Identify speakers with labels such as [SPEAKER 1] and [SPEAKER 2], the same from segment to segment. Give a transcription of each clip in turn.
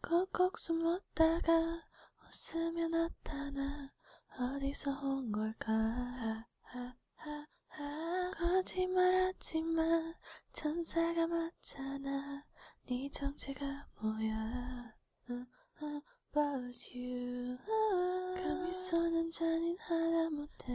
[SPEAKER 1] 꼭꼭 숨었다가 웃으며 나타나 어디서 온 걸까 거짓말하지만 천사가 맞잖아 네 정체가 뭐야 About you 감이 쏘는 잔인하다 못해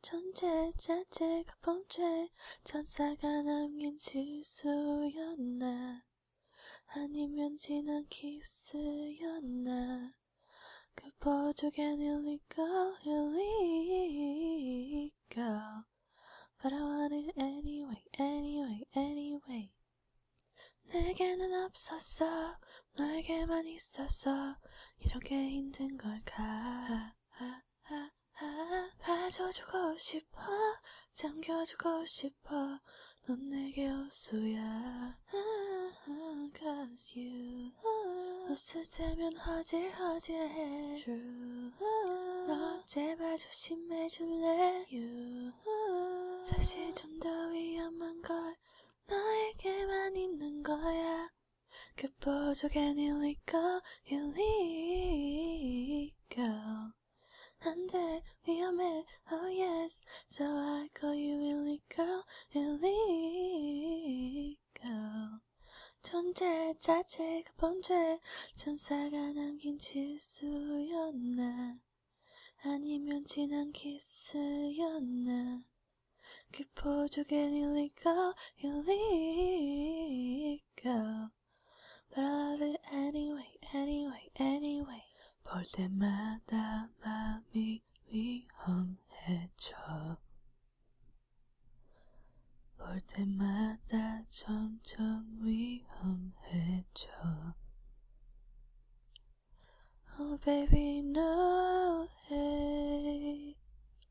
[SPEAKER 1] 존재 자체가 범죄 천사가 남긴 지수였나 아니면 지난 키스였나 그 보조겐 illegal illegal But I want it anyway anyway anyway 내게는 없었어 너에게만 있었어 이렇게 힘든 걸까 봐줘주고 싶어 잠겨주고 싶어 넌 내게 호수야 Cause you 호수 되면 허질허질해 True 너 제발 조심해줄래 You 사실 좀 더 위험한 걸 너에게만 있는 거야 그 보조개 일리고 일리고 안돼 위험해 oh yes so I call you illy girl illy girl 존재 자체가 범죄 천사가 남긴 지수였나 아니면 지난 키스였나 Keep que português illegal, illegal. But I love it anyway, anyway, anyway. 볼 때마다 맘이 위험해져. 볼 때마다 점점 위험해져. Oh baby no, hey.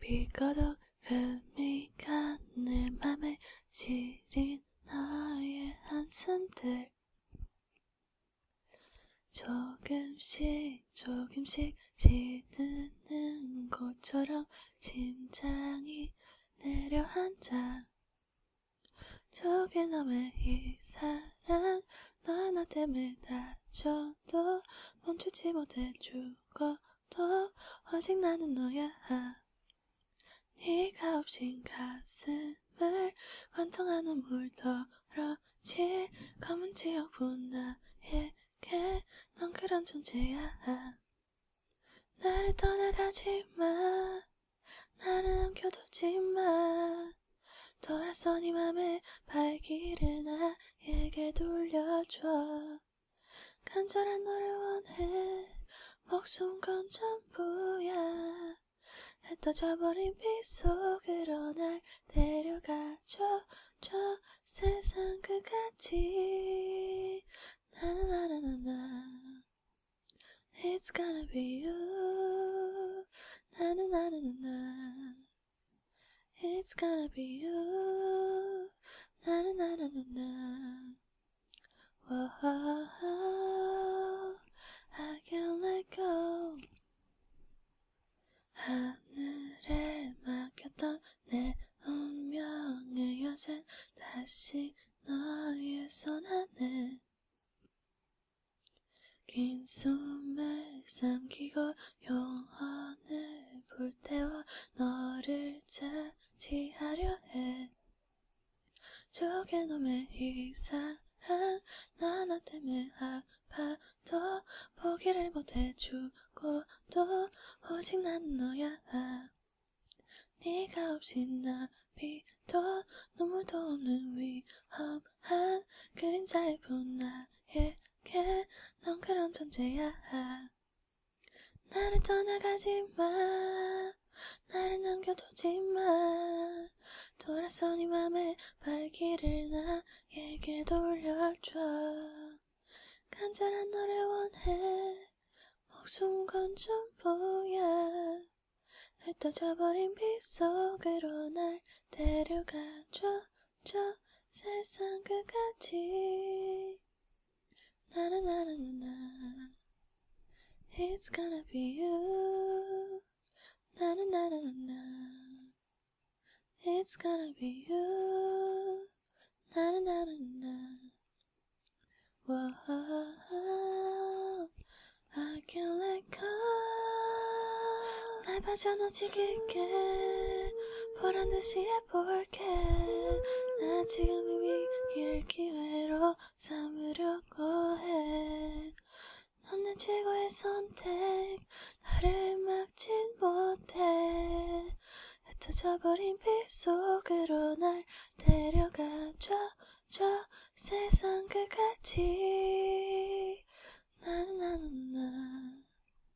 [SPEAKER 1] 비거덕 금이가 내 맘에 시린 너의 한숨들 조금씩 조금씩 시드는 것처럼 심장이 내려앉아 조개 너의 이 사랑 너나 때문에 다쳐도 멈추지 못해 죽어 또 오직 나는 너야 네가 없인 가슴을 관통하는 물더러질 검은 지역분 나에게 넌 그런 존재야 나를 떠나가지마 나를 남겨두지마 돌아서 네 맘에 발길을 나에게 돌려줘 간절한 너를 원해 목숨 건 전부야 흩어져버린 빛속으로 날 데려가줘 저 세상 끝까지 나나나나나 It's gonna be you 나나나나나 It's gonna be you. Na na na na na na. Whoa, oh, oh, I can't let go. 하늘에 막혔던 내 운명의 여신 다시 너의 손 안에 긴 숨을 삼키고 영안을 볼 때와 너를 차지하려 해 죽은 놈의 이 사랑 나나 때문에 아파도 포기를 못해 죽고도 오직 나는 너야 네가 없인 나비도 눈물도 없는 위험한 그림자일 뿐 나에게 넌 그런 존재야 나를 떠나가지 마 나를 남겨두지 마 돌아선 이 네 맘의 발길을 나에게 돌려줘 간절한 너를 원해 목숨 건 전부야 흩어져버린 빗속으로 날 데려가줘 저 세상 끝까지 Na na na na na. It's gonna be you. Na na na na na. It's gonna be you. Na na na na na. Whoa, I can't let go. 날 빠져나치게 보란 듯이 해볼게 나 지금 이미 길 기회로 삼으려고 해넌 내 최고의 선택 나를 막진 못해 흩어져버린 빛 속으로 날 데려가줘 저 세상 끝까지 나나나나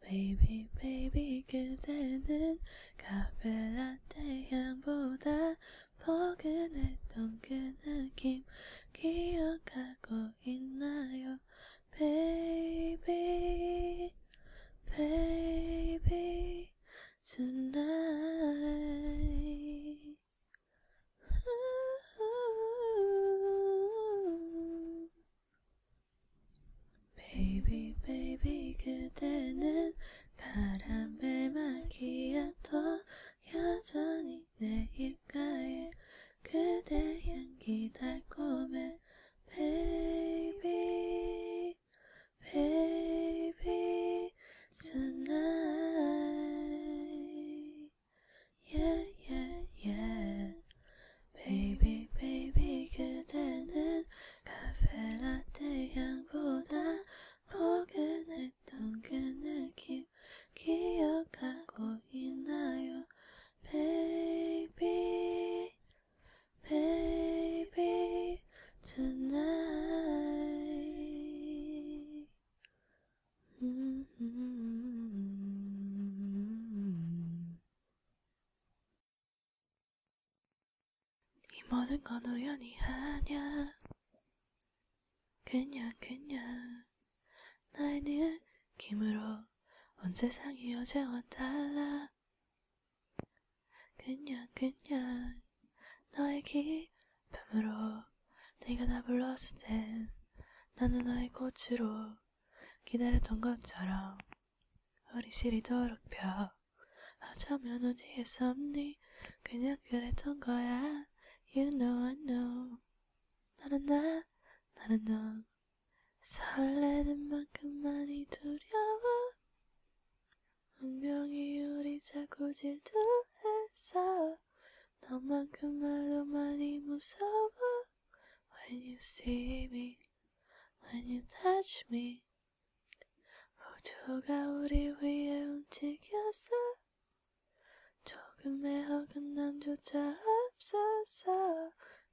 [SPEAKER 1] Baby baby 그대는 카페라떼 향보다 포근했던 그 느낌 기억하고 있나요 Baby Baby tonight 베이비 베이비 그대는 카라멜 마키아토 여전히 내 입가에 그대 향기 달콤해 Baby Baby tonight Yeah yeah yeah Baby baby 그대는 카페라떼 향보다 포근했던 그 느낌 기억하고 있나요 Baby Baby tonight 음, 음, 음, 이 모든 건 우연이 아냐 그냥 그냥 나의 느낌으로 온 세상이 어제와 달라 그냥 그냥 너의 기쁨으로 내가 나 불렀을 땐 나는 너의 꽃으로 기다렸던 것처럼 허리시리도록 펴 어쩌면 어디에서니 그냥 그랬던 거야 You know I know 나는 나 나는 너 설레는 만큼 많이 두려워 분명히 우리 자꾸 질투했어 너만큼 나도 많이 무서워 When you see me when you touch me 호두가 우리 위에 움직였어 조금의 호감남조차 없었어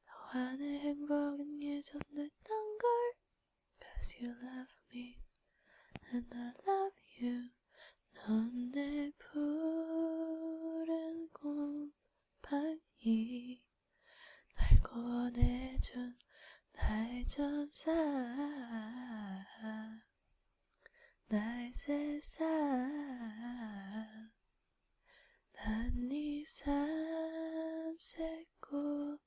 [SPEAKER 1] 너와 내 행복은 예전했던 걸 Cause you love me and I love you 넌내 푸른 곰팡이 날 구원해준 나의 전사 나의 세상 난네 삼색 고향이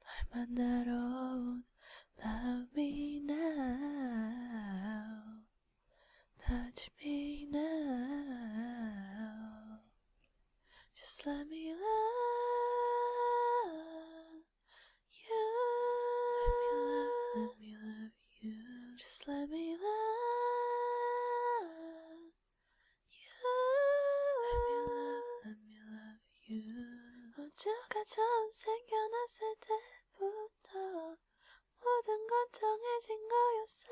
[SPEAKER 1] 널 만나러 온 Love me now Touch me now. Just let me love you. Let me love, let me love you. Just let me love you. Let me love, let me love you. 어쩌가 처음 생겨났을 때부터 모든 건 정해진 거였어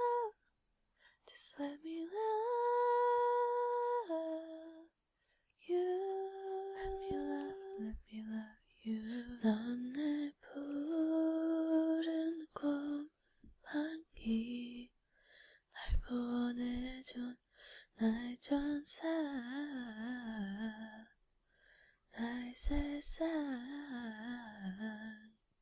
[SPEAKER 1] Just let me love you Let me love, let me love you 넌내 푸른 꽃만이 날 구원해준 나의 전사 나의 세상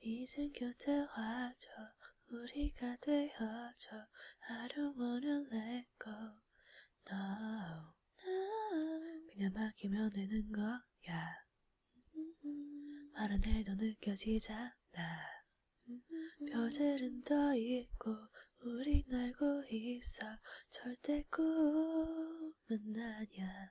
[SPEAKER 1] 이젠 곁에 와줘 우리가 되어줘 I don't wanna let go No, no. 그냥 기면 되는 거야 마른 해도 느껴지잖아 벼들은 떠 있고 우린 알고 있어 절대 꿈은 아냐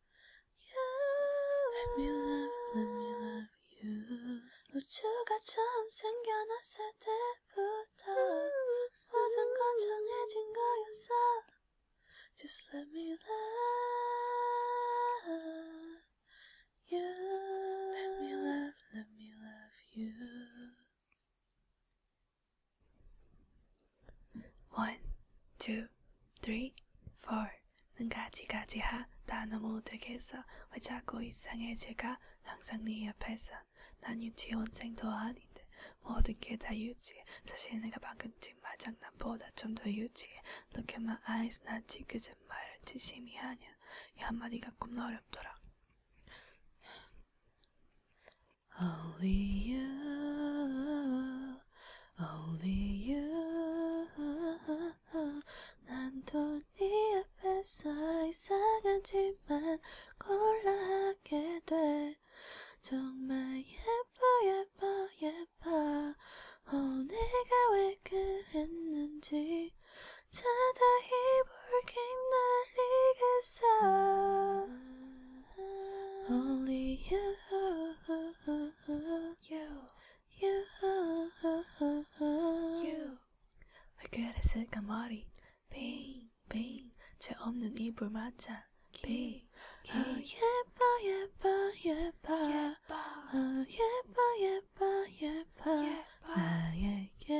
[SPEAKER 1] you. Let me love, let me love you. 우주가 처음 생겨났을 때부터 모든 건 정해진 거였어. Just let me love you. Let me love, let me love you. One, two, three, four. 는 가지가지하 나 너무 되겠어 왜 자꾸 이상해 제가 항상 네 옆에서 난 유치원생도 아닌데 모든 게다 유치해 사실 내가 방금 뒷마장난보다 좀 더 유치해 너게만 아이스 나지 그저 말을 진심이 하냐 이 한마디가 꿈나 어렵더라 Only you, only you 난돈네 앞에서 이상한 짓만 골라 하게 돼 정말 예뻐 예뻐 예뻐 어 내가 왜 그랬는지 자다 이불 갱날리겠어 Only you, you. You, you. 왜 그랬을까 머리 빙, 빙. 죄 없는 이불 맞자 빙. 어, 예뻐 예뻐 예뻐 어, 예뻐 예뻐 예뻐 나에게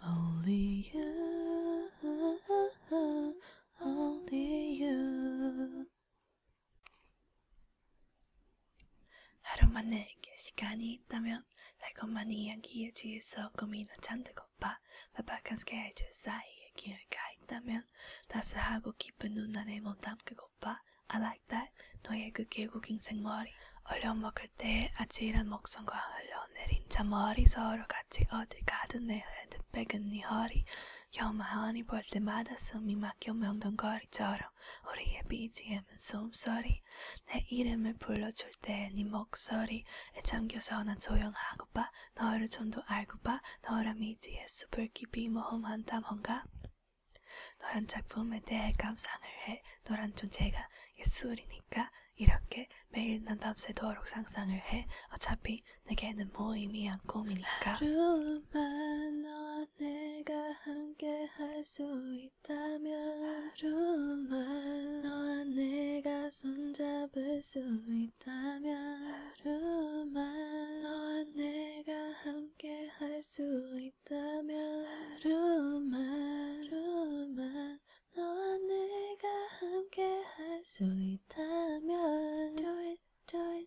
[SPEAKER 1] Only you Only you 하루만에게 시간이 있다면 달콤한 이야기에 취해서 고민을 잔뜩 엎어 바박한스게 해줄 사이에 기회가 있다면 따스하고 깊은 눈 안에 몸 담그고파 I like that 너의 그 계곡 인생머리 얼려먹을 때의 아찔한 목성과 흘러내린 자머리 서로 같이 어딜 가든 내 핸드백은 네 허리 요마하니 볼 때마다 숨이 막혀 명동거리처럼 우리의 BGM은 숨소리 내 이름을 불러줄 때의 네 목소리에 잠겨서 난 조용하고 봐 너를 좀 더 알고 봐 너란 미지의 숲을 깊이 모험한다뭔가 너란 작품에 대해 감상을 해 너란 존재가 예술이니까 이렇게 매일 난 밤새도록 상상을 해 어차피 내게는 모임이 뭐 한 꿈이니까 하루만 너와 내가 함께 할 수 있다면 하루만 너와 내가 손잡을 수 있다면 하루만 너와 내가 함께 할 수 있다면 하루만 하루만 너와 내가 함께 할 수 있다면 Do it, do it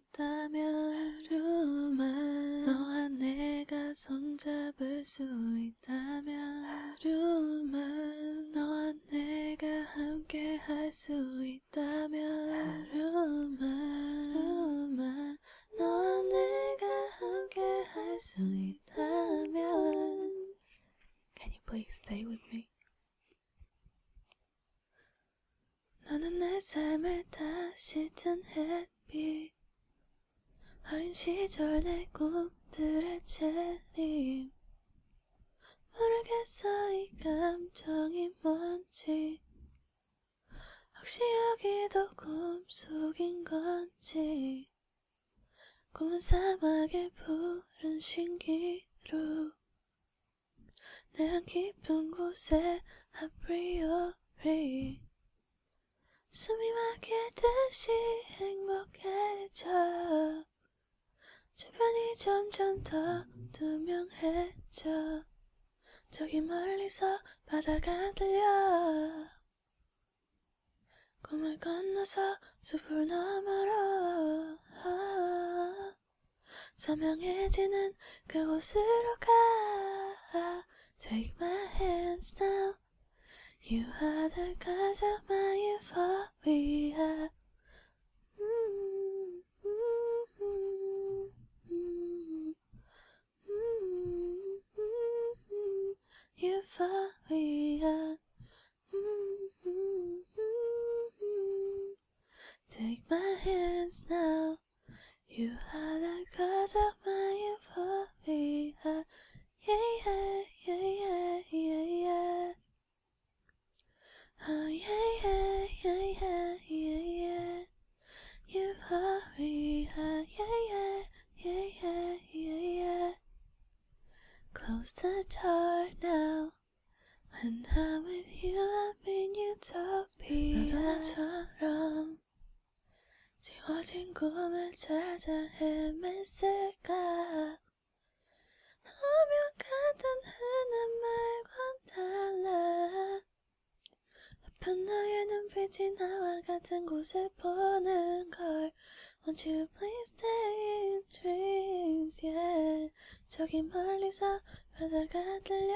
[SPEAKER 1] 있다면 하루만 너와 내가 손잡을 수 있다면 하루만 너와 내가 함께 할 수 있다면 하루만 하루만 너와 내가 함께 할 수 있다면 Can you please stay with me? 너는 내 삶을 다시 튼 햇빛 어린 시절 내 꿈들의 재림 모르겠어 이 감정이 뭔지 혹시 여기도 꿈속인 건지 꿈은 사막의 푸른 신기루 내한 깊은 곳에 아프리오 sorry 숨이 막히듯이 행복해져 주변이 점점 더 투명해져 저기 멀리서 바다가 들려 꿈을 건너서 숲을 너머로 선명해지는 그곳으로 가 Take my hands now. You are the cause of my euphoria Euphoria Take my hands now. You are the cause of my euphoria. Yeah, yeah, yeah, yeah, yeah, yeah. Oh, yeah, yeah, yeah, yeah, yeah, yeah. Euphoria. Yeah, yeah, yeah, yeah, yeah, yeah. Close the door now. When I'm with you, I'm in utopia. 지워진 꿈을 찾아 헤맸을까 하면 같은 흔한 말과 달라 아픈 나의 눈빛이 나와 같은 곳에 보는 걸 Won't you please stay in dreams, yeah 저기 멀리서 바다가 들려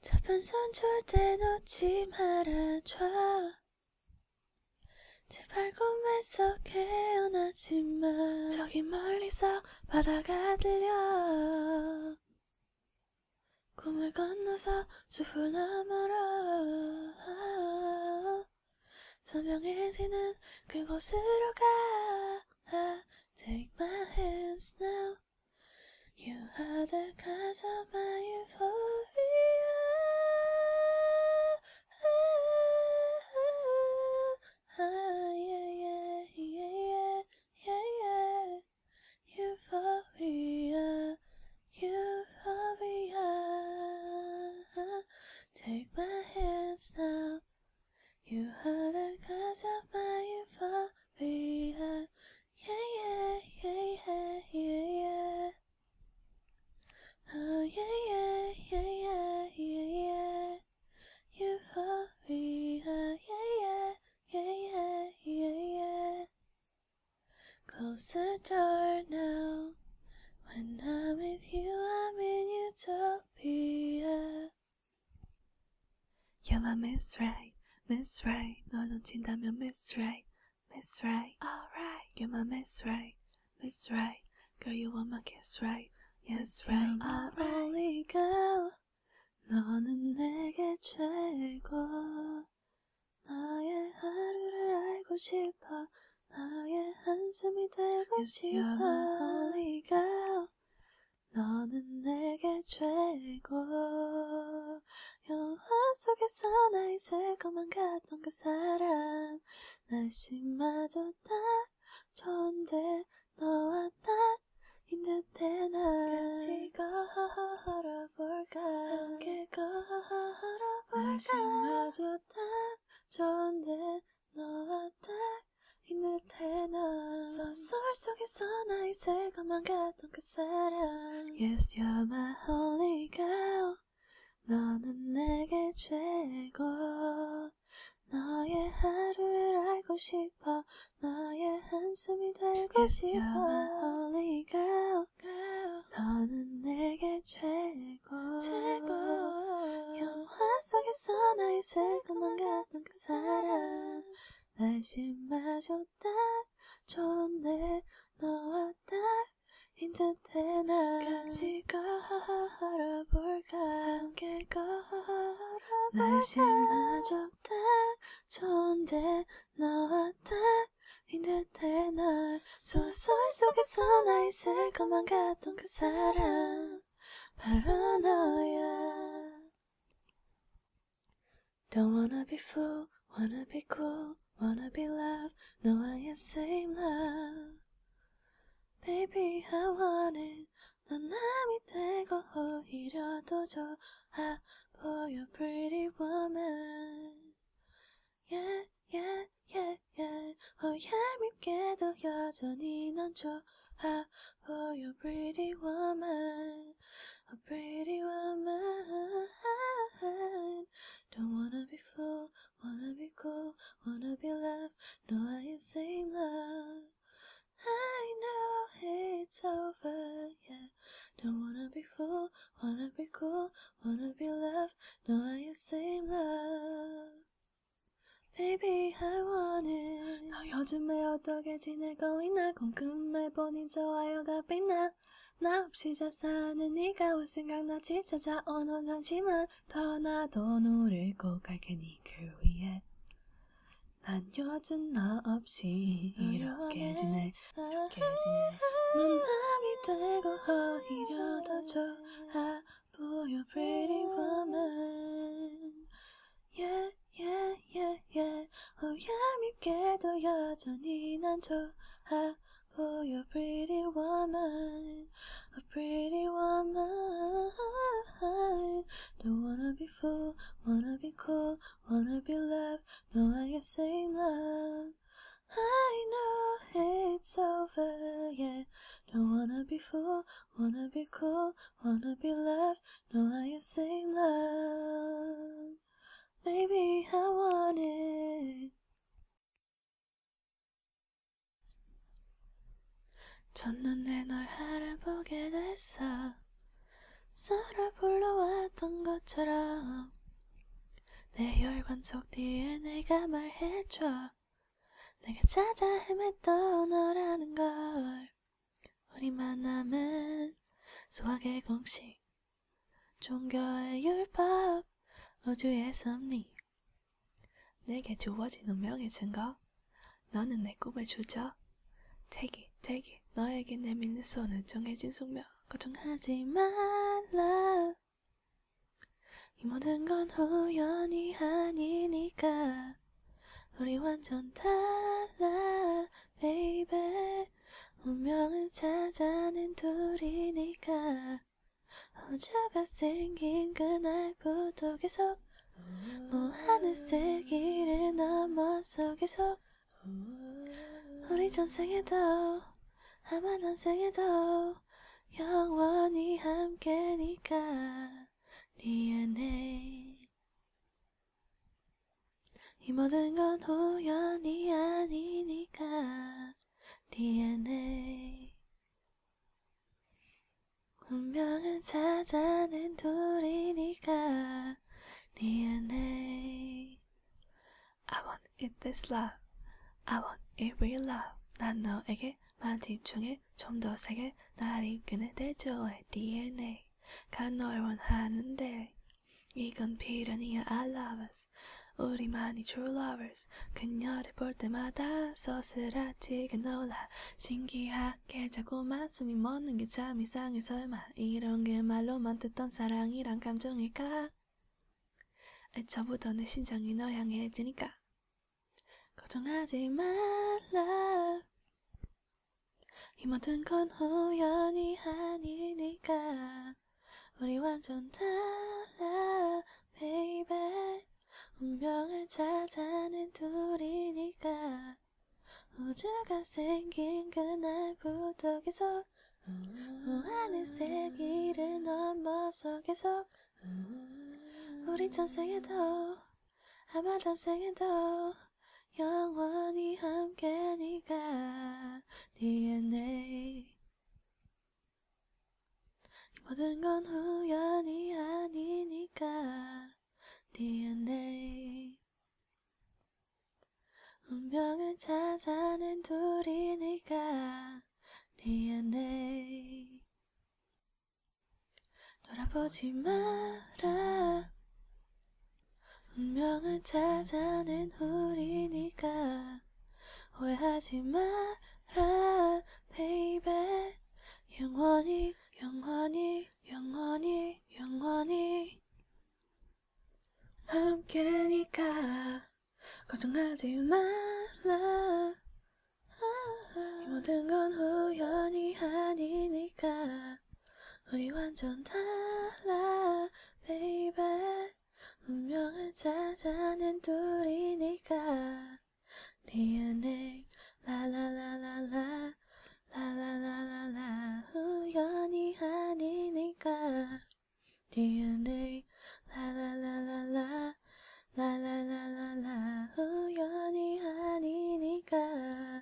[SPEAKER 1] 저편선 절대 놓지 말아줘 제발 꿈에서 깨어나지마 저기 멀리서 바다가 들려 꿈을 건너서 숲을 넘어라 선명해지는 그곳으로 가 Take my hands now You are the cause of my euphoria. Euphoria, euphoria. Take my hands now, you are the cause of my euphoria. Yeah, yeah, yeah, yeah, yeah, yeah. Oh, yeah, yeah, yeah, yeah, yeah, yeah. Euphoria. Yeah, yeah, yeah, yeah, yeah, yeah. Close the door now. When I'm with you, I'm in utopia. You're my Miss Right, Miss Right. 널 놓친다면 Miss Right, Miss Right. Alright. You're my Miss Right, Miss Right. Girl, you want my kiss right, yes right. Alright. Only girl. 너는 내게 최고. 나의 하루를 알고 싶어. 나의 한숨이 되고 yes, 싶어. You're my only girl. 너는 내게 최고 영화 속에서 나 있을 것만 같던 그 사람 날씨마저 딱 좋은데 너와 딱 인듯해 나 같이 걸어볼까 함께 걸어볼까 날씨마저 딱 좋은데 너와 딱 있는 테나 소설 속에서 나 있을 것만 같던 그 사람 Yes you're my holy girl 너는 내게 최고 너의 하루를 알고 싶어 너의 한숨이 되고 yes, 싶어 You're my only girl, girl 너는 내게 최고 최고 영화 속에서 나 있을 것만 같은 그 사람 안심마저 딱 좋네 너와 딱 인텐데 나 같이 걸어볼까 함께 걸어볼까 날씨마저 딱 좋은데 너와 딱 인텐데 날 소설 속에서 나 있을 것만 같던 그, 그 사람 바로 너야 Don't wanna be fool, wanna be cool, wanna be love, no I ain't same love. Baby, I want it. 난 남이 되고 오히려 더 좋아 your pretty woman. Yeah, yeah, yeah, yeah. 오얄밉게도 oh, 여전히 넌 좋아 Oh, you're a pretty woman, a pretty woman. Don't wanna be full, wanna be cool, wanna be loved. No, I ain't saying love. I know it's over, yeah. Don't wanna be full, wanna be cool, wanna be loved. No, I ain't saying love. Baby, I want it. 너 요즘에 어떻게 지내고 있나? 나 궁금해 보니 좋아요가 빛나 나 없이 잘 사는 네가 올 생각나지 찾아온 혼자지만 더나도 노를 꼭갈게 니를 그 위해 난 요즘 너 없이 이렇게 지내 이렇게 지내 넌 남이 되고 오히려 더 좋아 보여 pretty woman yeah, yeah, yeah, yeah. 오얄밉게도 여전히 난 좋아하고 You're pretty woman, a pretty woman. Don't wanna be fool, wanna be cool, wanna be loved. No, I can sing love. I know it's over, yeah. Don't wanna be fool, wanna be cool, wanna be loved. 너와의 same love Maybe I want it 첫눈에 널 알아보게 됐어 서로 불러왔던 것처럼 내 혈관 속 DNA가 말해줘 내가 찾아 헤맸던 너라는 걸 우리 만남은 소확의 공식 종교의 율법 우주의 섭리 내게 주어진 명의 증거 너는 내 꿈을 주저 태기 태기 너에게 내밀는 손은 정해진 숙명 걱정하지 말라 이 모든 건 우연이 아니니까 우리 완전 달라 baby 운명을 찾아낸 둘이니까 우주가 생긴 그날부터 계속 뭐 하늘색 길을 넘어서 계속 우리 전생에도 아마 난생에도 영원히 함께니까 네 안에 이 모든 건 우연이 아니니까 DNA 운명은 찾아낸 둘이니까 DNA I want it this love I want it real love 난 너에게만 집중해 좀더 세게 나를 이끄는 대조의 DNA sé que no 원하는데 이건 필연이야 I love us 우리만이 true lovers 그녀를 볼 때마다 서스라치게 놀라 신기하게 자꾸만 숨이 멎는 게 참 이상해 설마 이런 게 말로만 듣던 사랑이란 감정일까 애초부터 내 심장이 너 향해지니까 걱정하지 말라 이 모든 건 우연이 아니니까 우리 완전 달라 baby 운명을 찾아낸 둘이니까 우주가 생긴 그날부터 계속 하늘색 길을 넘어서 계속 우리 전생에도 아마 담생에도 영원히 함께 네가 DNA 모든 건 우연이 아니니까 DNA 운명을 찾아낸 둘이 네가 DNA 돌아보지 마라 운명을 찾아낸 우리니까 오해하지 마라 baby 영원히 영원히 영원히 영원히 함께니까 걱정하지 말라 이 모든 건 우연이 아니니까 우리 완전 달라 baby 운명을 찾아낸 둘이니까 DNA 라라라라라 라라라라라 우연이 아니니까 DNA 라라라라라 라라라라라 우연이 아니니까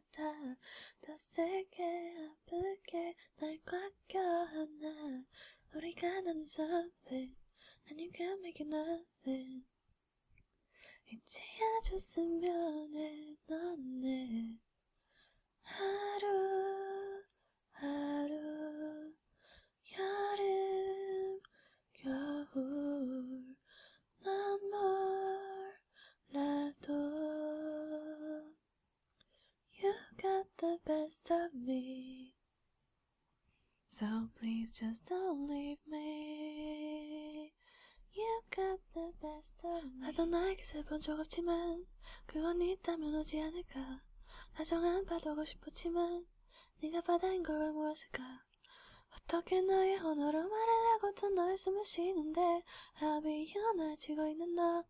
[SPEAKER 1] 받아 더 세게 아프게 날 꽉 껴안아 우리가 나눈 something and you can make it nothing 이제야 줬으면 해넌내 하루 하루 여름 겨울 넌뭘 몰라도 You got the best of me So please just don't leave me You got the best of me 나도 나에게 슬픈 적 없지만 그건 있다면 오지 않을까 나정한 바다고 싶었지만 네가 바다인 걸왜 몰랐을까 어떻게 너의 언어로 말을 하고도 너의 숨을 쉬는데 미안해지고 있는 너.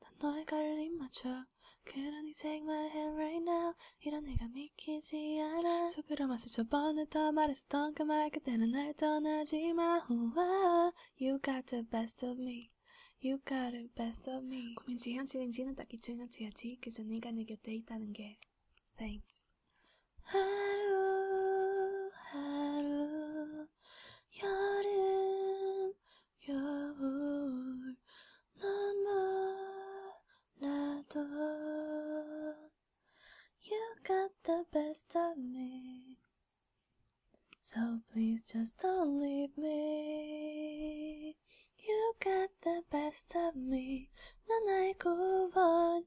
[SPEAKER 1] 난 너의 갈림 맞춰. 그런 인생 my hand right now. 이런 내가 믿기지 않아. 속으로 마스쳐 번에더 말했었던 그말 그때는 날 떠나지 마. Oh, wow. Oh, you got the best of me. You got the best of me. 고민지 현실인지는 딱히 중요치하지. 그저 네가 내 곁에 있다는 게. Thanks. 하루 하루 You got the best of me, so please just don't leave me. You got the best of me, 넌 알고 원,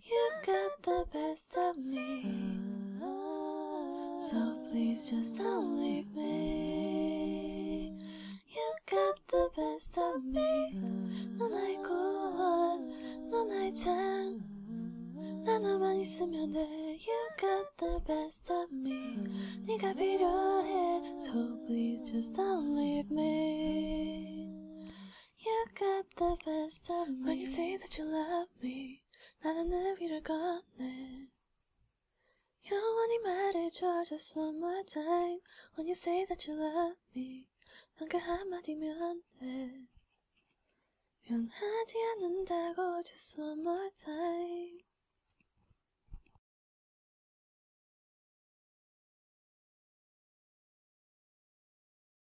[SPEAKER 1] You got the best of me. So please just don't leave me. You got the best of me. 넌 알고, 넌 알잖아. 나 너만 있으면 돼. You got the best of me. You 네가 필요해. So please just don't leave me. You got the best of me. When you say that you love me, 나는 내 위를 건네. only 말해줘 just one more time. When you say that you love me, 난그 한마디면 돼. 변하지 않는다고 just one more time.